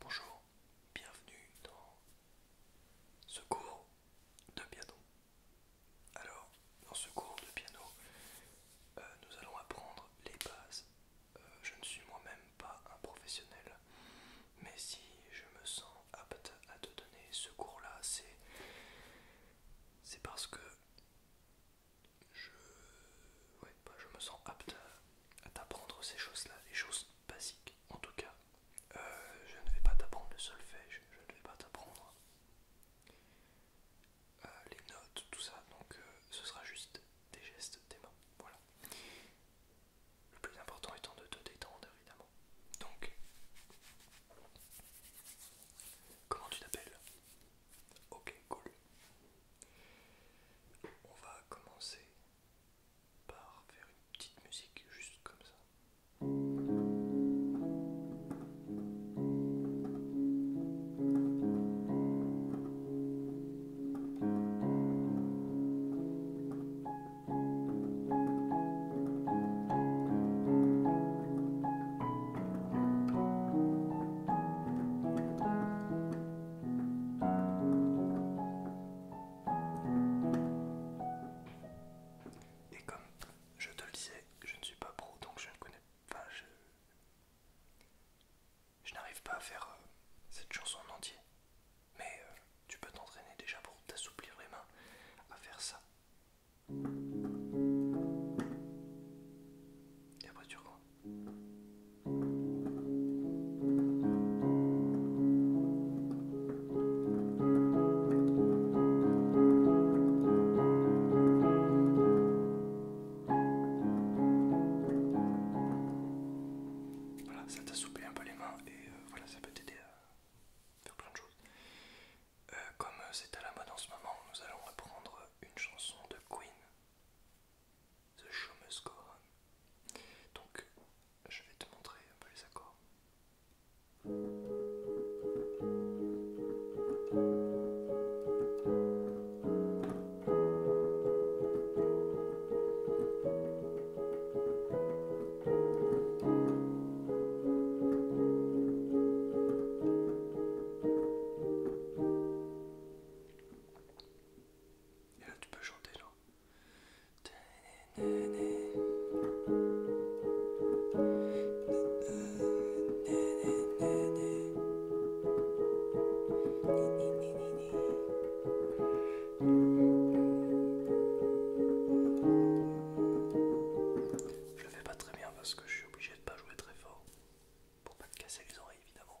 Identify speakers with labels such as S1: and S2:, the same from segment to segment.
S1: Bonjour, bienvenue dans ce cours de piano. Alors, dans ce cours de piano, euh, nous allons apprendre les bases. Euh, je ne suis moi-même pas un professionnel, mais si je me sens apte à te donner ce cours-là, c'est c'est parce que je, je me sens apte à t'apprendre ces choses-là, les choses basiques en tout cas. Euh, je ne vais pas t'apprendre le solfège, je ne vais pas t'apprendre euh, les notes, tout ça, donc euh, ce sera juste des gestes, des mains, voilà. Le plus important étant de te détendre évidemment. Donc, comment tu t'appelles Ok, cool. On va commencer par faire une petite musique juste comme ça. Et comme je te le disais, je ne suis pas pro donc je ne connais pas. je n'arrive pas à faire euh, cette chanson en entier. Mais euh, tu peux t'entraîner déjà pour t'assouplir les mains à faire ça. Et après tu reprends. Voilà, ça t'a soupé un peu les mains et euh, voilà, ça peut t'aider à faire plein de choses. Euh, comme euh, c'est à la mode en ce moment, nous allons reprendre une chanson de Queen. The Show Must Go Donc, je vais te montrer un peu les accords. Et là tu peux chanter là. Je le fais pas très bien parce que je suis obligé de pas jouer très fort pour pas te casser les oreilles évidemment.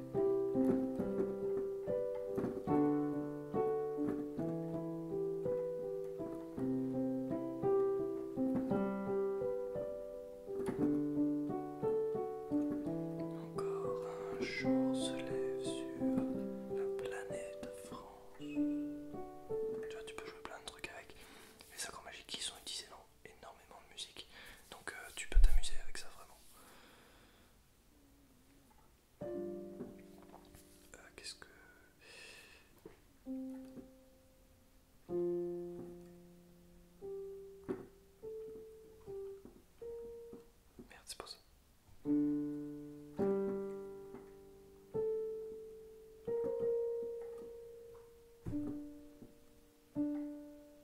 S1: Encore un jour se lève sur la planète France. Tu vois, tu peux jouer plein de trucs avec. Les accords magiques qui sont utilisés dans énormément de musique. Donc euh, tu peux t'amuser avec ça vraiment. Euh, qu'est-ce que... Merde, c'est pas ça.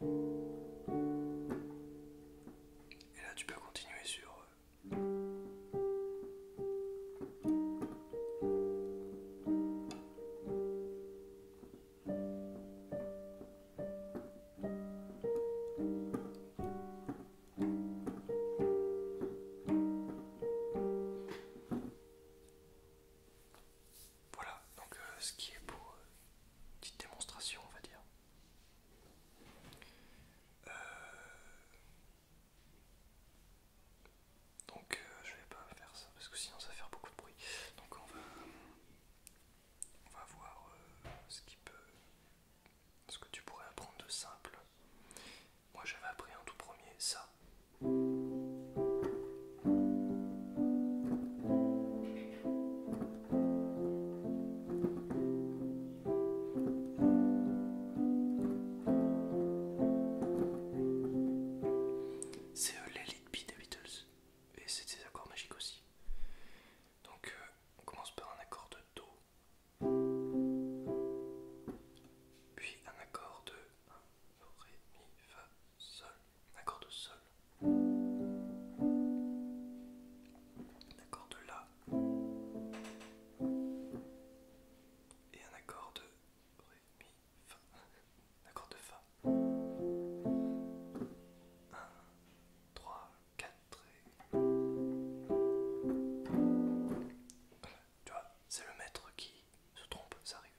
S1: Et là, tu peux continuer sur... Euh, voilà, donc euh, ce qui est pour euh, petite démonstration, on va dire. Euh, donc euh, je vais pas faire ça parce que sinon ça va faire beaucoup de bruit. Donc on va, on va voir euh, ce qui peut, ce que tu pourrais apprendre de simple. Moi j'avais appris en tout premier ça. C'est euh, l'élite B des Beatles et c'est des accords magiques aussi. Donc euh, on commence par un accord de Do, puis un accord de Ré, Mi, Fa, Sol. Un accord de Sol. D'accord de La. Et un accord de Mi, Fa. Un accord de Fa. un, trois, quatre, Tu vois, c'est le maître qui se trompe, ça arrive.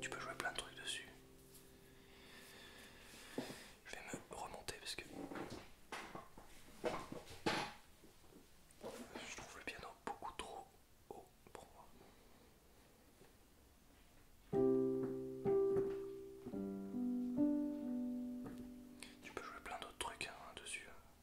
S1: Tu peux jouer plein de trucs dessus. Je vais me remonter parce que je trouve le piano beaucoup trop haut pour moi. Tu peux jouer plein d'autres trucs hein, dessus. Hein.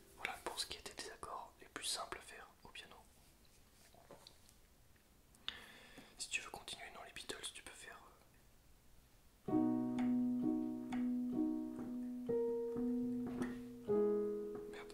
S1: Voilà pour ce qui était des accords les plus simples à faire au piano. Si tu veux continuer dans les Beatles, tu peux faire. Euh, merde.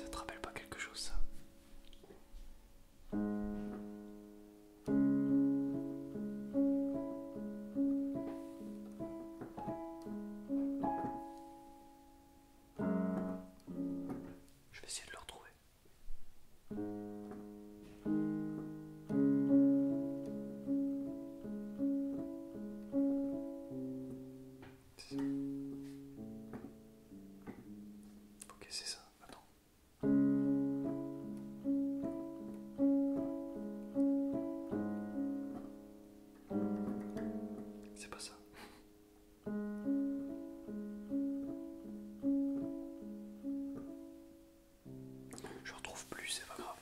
S1: Ça te rappelle pas quelque chose ça je vais essayer de le retrouver. Ok, c'est ça. Attends. C'est pas ça. Je retrouve plus, c'est pas grave.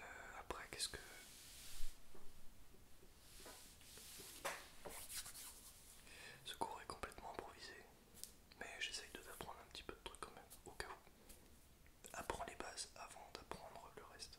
S1: Euh, après, qu'est-ce que... Ce cours est complètement improvisé, mais j'essaye de t'apprendre un petit peu de trucs quand même, au cas où. Apprends les bases avant d'apprendre le reste.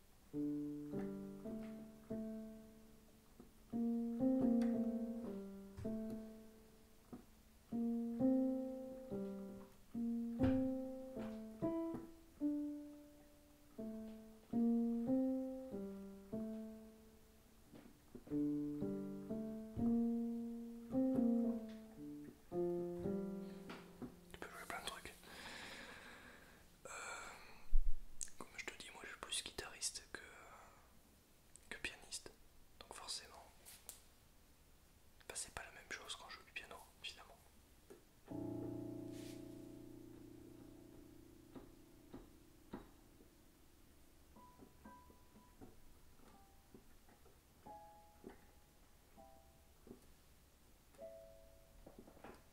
S1: Tu peux jouer plein de trucs. Euh, comme je te dis, moi je suis plus guitariste que, que pianiste. Donc forcément, bah, c'est pas la même chose quand je joue du piano, évidemment.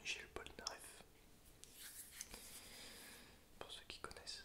S1: Michel Polnareff. Pour ceux qui connaissent,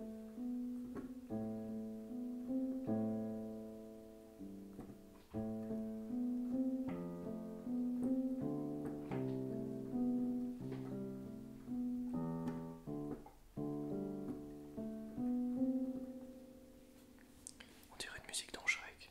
S1: On dirait une musique dans Shrek.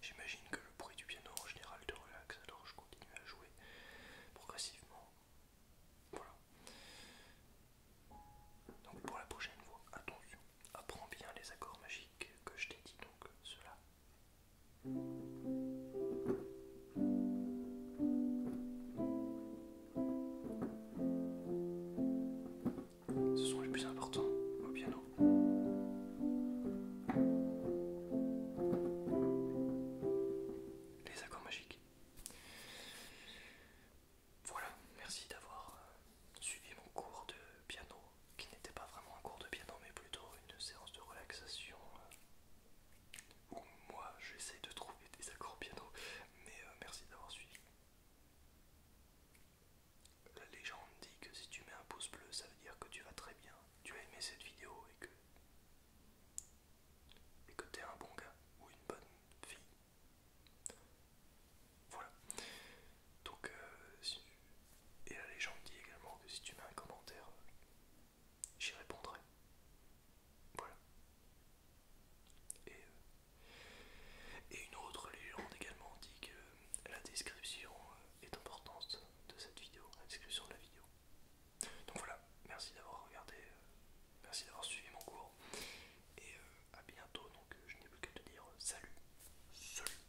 S1: J'imagine que le bruit du piano en général te relaxe, alors je continue à jouer progressivement. Voilà. Donc pour la prochaine fois, attention, apprends bien les accords magiques que je t'ai dit, donc cela ce sont les plus importants au piano. Les accords magiques. Voilà, merci d'avoir suivi mon cours de piano qui n'était pas vraiment un cours de piano mais plutôt une séance de relaxation euh, où moi j'essaye de trouver des accords piano mais euh, merci d'avoir suivi. La légende dit que si tu mets un pouce bleu ça veut dire que tu vas très bien, tu as aimé cette vidéo et que et que t'es un bon gars ou une bonne fille. Voilà. Donc euh, et la légende dit également que si tu mets un commentaire, j'y répondrai. Voilà. Et, euh, une autre légende également dit que la description euh, est importante de cette vidéo, la description de la vidéo. Donc voilà, merci d'avoir regardé, euh, merci d'avoir suivi mon cours. Et à bientôt, donc je n'ai plus qu'à te dire salut. Salut